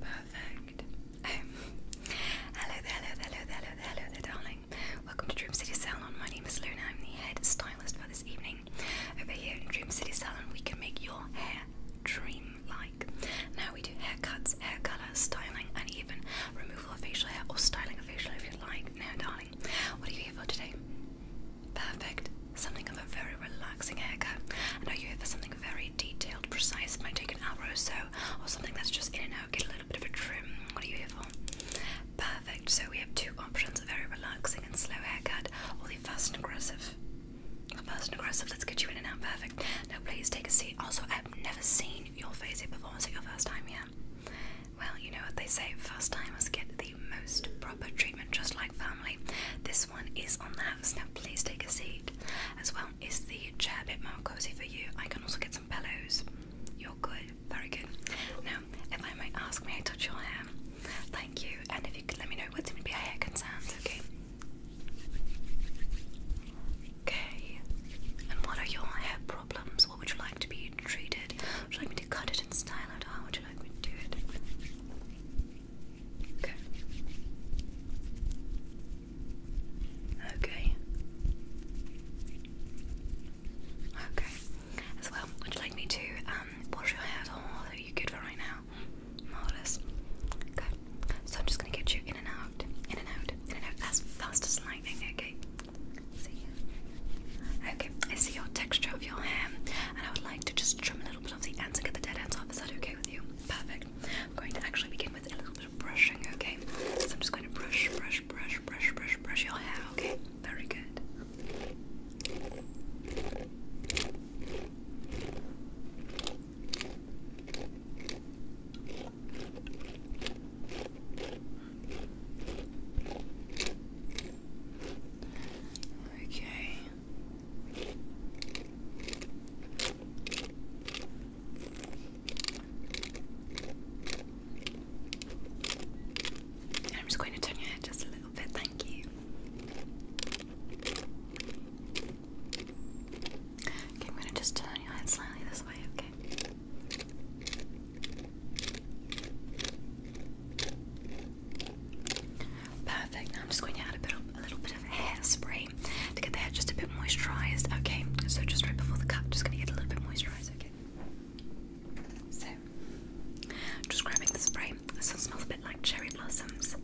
Perfect. Um, hello there, hello there, hello there, hello there, darling. Welcome to Dream City Salon. My name is Luna. I'm the head stylist for this evening. Over here in Dream City Salon, we can make your hair dream-like. Now we do haircuts, hair color, styling, and even removal of facial hair or styling of facial hair if you'd like. Now, darling. What are you here for today? Perfect. Something of a very relaxing haircut. I know you're here for something very detailed, precise, it might take an hour or so, or something that's just in and out, get a little bit of a trim. What are you here for? Perfect. So we have two options, a very relaxing and slow haircut, or the fast and aggressive. Fast and aggressive, let's get you in and out, perfect. Now please take a seat. Also, I've never seen your face at performance at your first time here. Well, you know what they say, first time, timers get the most proper treatment, just like family. This one is on the house. Now, please take a seat. As well, is the chair a bit more cozy for you? I can also get some pillows. You're good, very good. Now, if I may ask, may I touch your hair? Thank you. And if you could let me know what seem to be our hair concerns, okay? Okay. And what are your hair problems? What would you like to be treated? Would you like me to cut it in style it? How would you like me to do it? Okay. Okay. Okay. As well, would you like me to um, wash your hair Are you good for right now? Marvelous. Good. So I'm just gonna get you in and out, in and out, in and out, as fast as lightning. Okay. Okay, I see your texture of your hair, and I would like to just trim a little bit of the ends and get the dead ends off. Is that okay with you? Perfect. I'm going to actually begin with a little bit of brushing, okay? So I'm just going to brush, brush, brush, brush, brush, brush your hair, okay? Very good. Okay. I'm just going to turn your head just a little bit, thank you. I'm going to just turn your head slightly this way, okay? Perfect. Now I'm just going to add a, bit a little bit of hairspray to get the hair just a bit moisturized. Okay, so just right before the cut, just going to get a little bit moisturized. Okay. So, just grabbing the spray. This one smells a bit like cherry blossoms.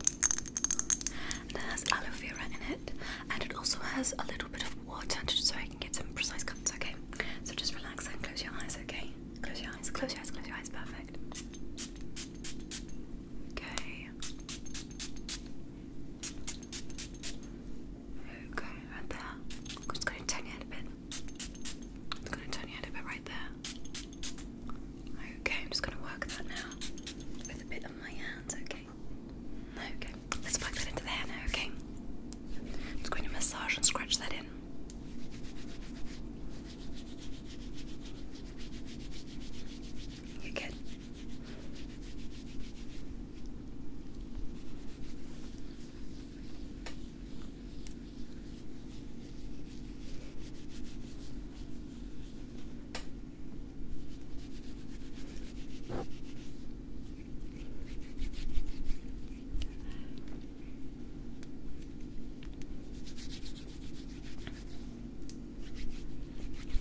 And it has aloe vera in it, and it also has a little bit of water so I can get some precise cuts, okay? So just relax and close your eyes, okay? Close your eyes, close your eyes, close your eyes, perfect. Okay. Okay, right there. I'm just gonna turn your head a bit. I'm gonna turn your head a bit right there. Okay, I'm just gonna work that now with a bit of my hands, okay? Okay, let's plug that into the okay? i going to massage and scratch that in. You're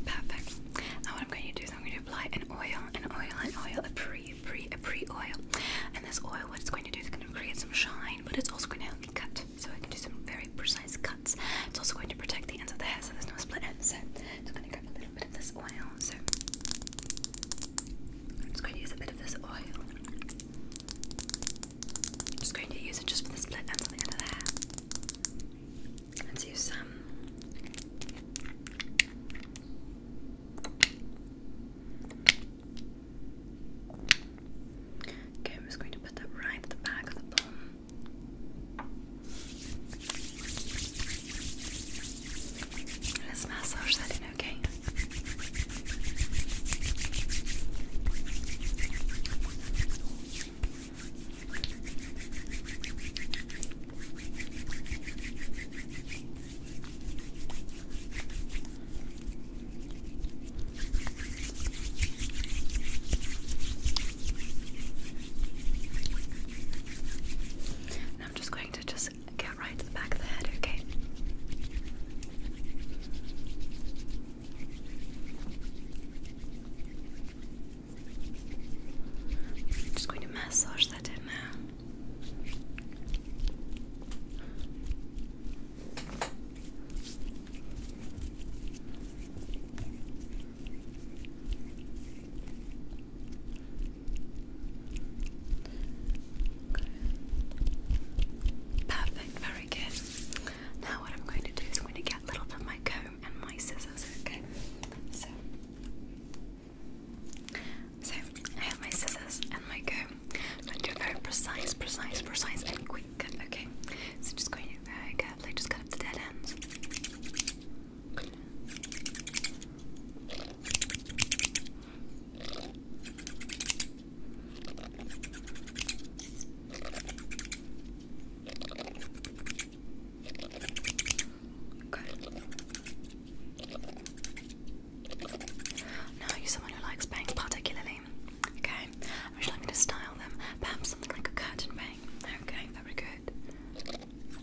Perfect. Now what I'm going to do is I'm going to apply an oil, an oil, an oil, a pre, pre, a pre-oil. And this oil, what it's going to do is going to create some shine, but it's also going to help me cut. So I can do some very precise cuts. It's also going to protect the ends of the hair so there's no split ends. So i just going to grab a little bit of this oil, so I'm just going to use a bit of this oil. I'm just going to use it just for the split ends on the end of the hair. Let's use some. Okay, I'm just going to put that right at the back of the palm. Let's massage that in, okay? I'm just going to just get right to the back of the head, okay? I'm just going to massage that in now. Perfect, very good. Now, what I'm going to do is I'm going to get a little bit of my comb and my scissors, okay? So, I have my scissors and my comb. I'm going to do very precise, precise, precise, and quick okay? So, just going to very uh, carefully just cut up the dead ends. Now, are you someone who likes bangs particularly? Okay, would you like me to style them? Perhaps something like a curtain bang? Okay, very good.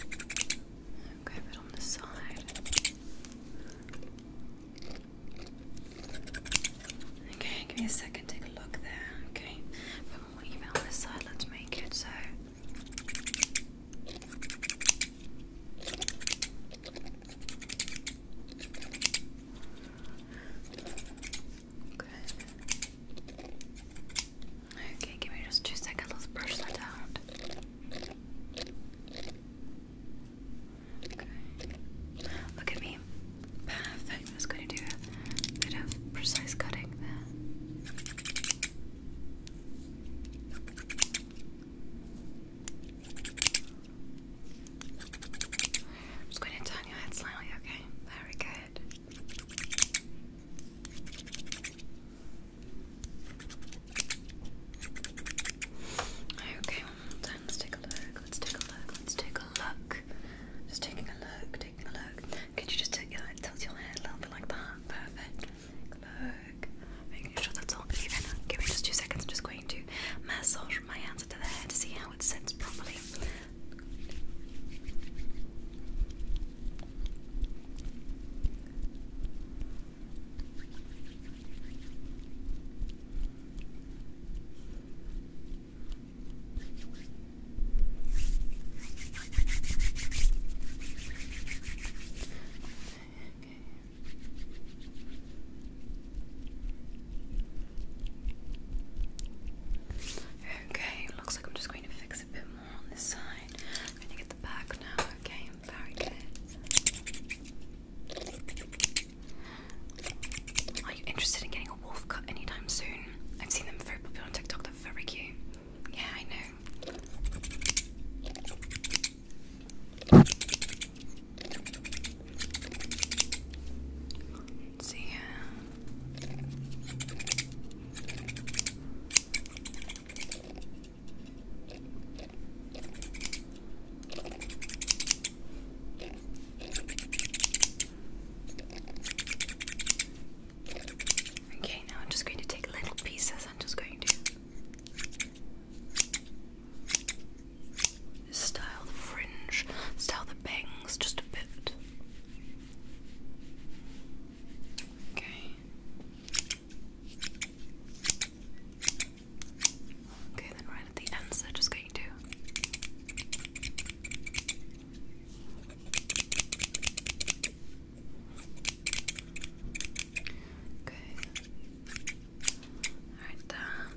Okay, but on the side. Okay, give me a second, take a look there. Okay, but more even on this side, let's make it so. Okay. Okay, give me just two seconds. Let's brush that out. Okay. Look at me. Perfect. I'm going to do a bit of precise cutting I'm going to turn your head slightly, okay? Very good. Okay, one more time. Let's take a look. Let's take a look. Let's take a look. Just taking a look. Taking a look. Could you just tilt your head a little bit like that? Perfect. look. Making sure that's all Give me just two seconds. I'm just going to massage my hands into the head to see how it sits properly. Okay, looks like I'm just going to fix a bit more i Are you interested in getting a wolf cut anytime soon? I've seen them very popular on TikTok, they're very cute. Yeah, I know. see Okay, now I'm just going to take little pieces. I'm just going to style the fringe, style the bangs just a bit. Okay. Okay, then right at the end, so just going to Okay. Right there.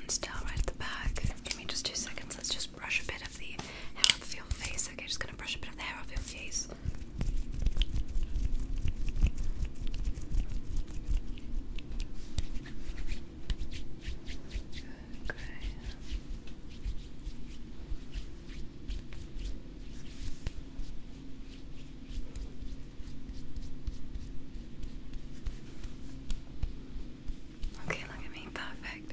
And still right at the back. Give me just two seconds. Let's just brush a bit of the hair off your face. Okay, just gonna brush a bit of hair off your face. Okay. Okay, look at me, perfect.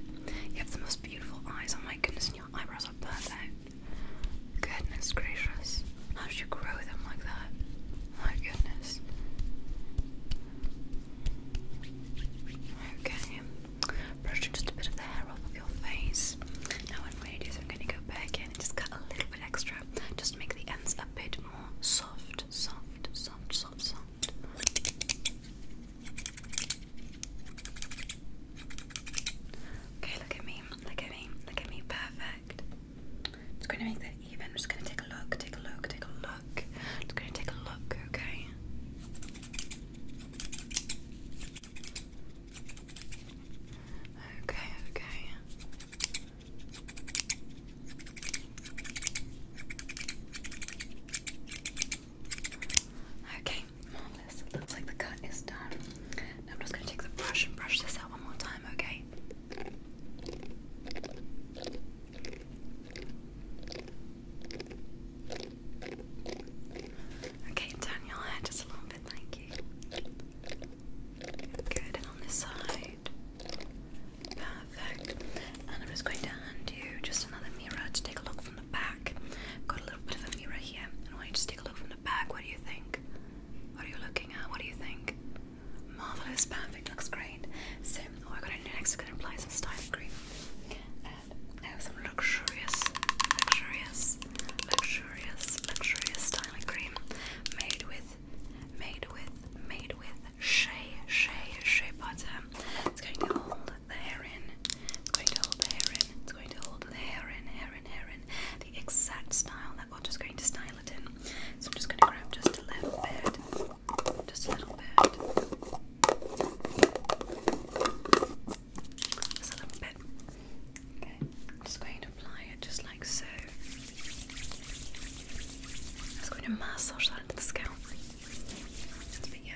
You have the most beautiful eyes. Oh my goodness, and your eyebrows are perfect. Goodness gracious. How did you grow them like that? My goodness. Okay brushing just a bit of the hair off of your face. Now I'm ready, so I'm going to go back in and just cut a little bit extra. Just make the ends a bit more soft, soft, soft, soft, soft. Okay, look at me, look at me, look at me, perfect. i going to make that even. just going to take a look, take a look, take a look. i going to take a look, okay? Okay, okay. Okay, marvelous. Looks like the cut is done. Now I'm just going to take the brush and brush this out one more time, Okay. Okay, turn your hair just a little bit, thank you. Good, on this side. Perfect. And I'm just going to hand you just another mirror to take a look from the back. Got a little bit of a mirror here, and I want you to take a look from the back. What do you think? What are you looking at? What do you think? Marvelous, perfect, looks great. So, what we going to do next is going to apply some styling cream. I have some luxurious, luxurious, luxurious, luxurious styling cream made with, made with, made with shea, shea, shea butter. It's going to hold the hair in. It's going to hold the hair in. It's going to hold the hair in, hair in, hair in. The exact style that we're just going to style it in. So I'm just going to grab just a little bit, just a little bit. Just a little bit. Okay, just going to apply it just like so. just going to massage that into the scalp. Let's begin.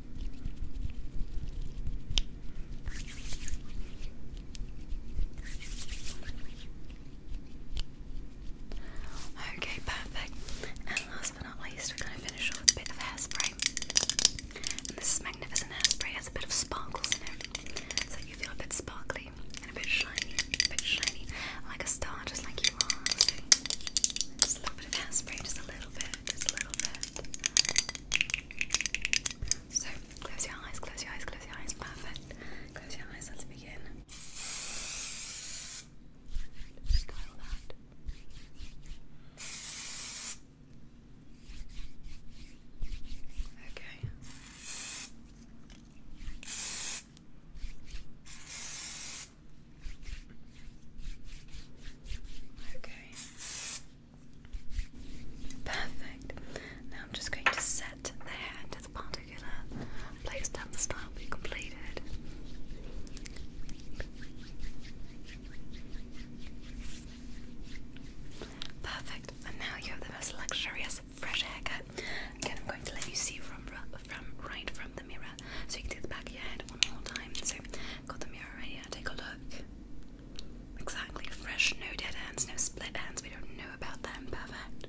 Okay, perfect. And last but not least, we're going to finish off with a bit of hairspray. And this is magnificent hairspray, has a bit of sparkles in it, so you feel a bit sparkly and a bit shiny, a bit shiny, like a star, just like you are. just a little bit of hairspray, just a little bit, just a little bit. So, close your eyes, close your eyes, close your eyes. Perfect. Close your eyes, let's begin. Okay. Okay. Perfect. Now I'm just going to set the hair into the particular place down the style we completed. Perfect. And now you have the most luxurious fresh haircut. Again, I'm going to let you see from from right from the mirror, so you can do the back of your head one more time. So, got the mirror right here take a look. Exactly, fresh, no dead ends, no split ends. We don't know about them. Perfect.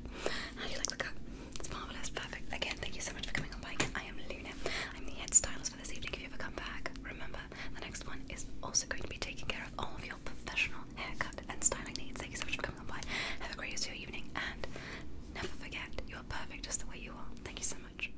How do you like the cut? It's marvelous. Perfect. Again, thank you so much for coming on by. I am Luna. I'm the head stylist for this evening. If you ever come back, remember the next one is also going to be taking care of all of your professional haircut and styling needs. Thank you so much for coming on by. Have a great rest of your evening, and never forget you are perfect just the way you are. Thank you so much.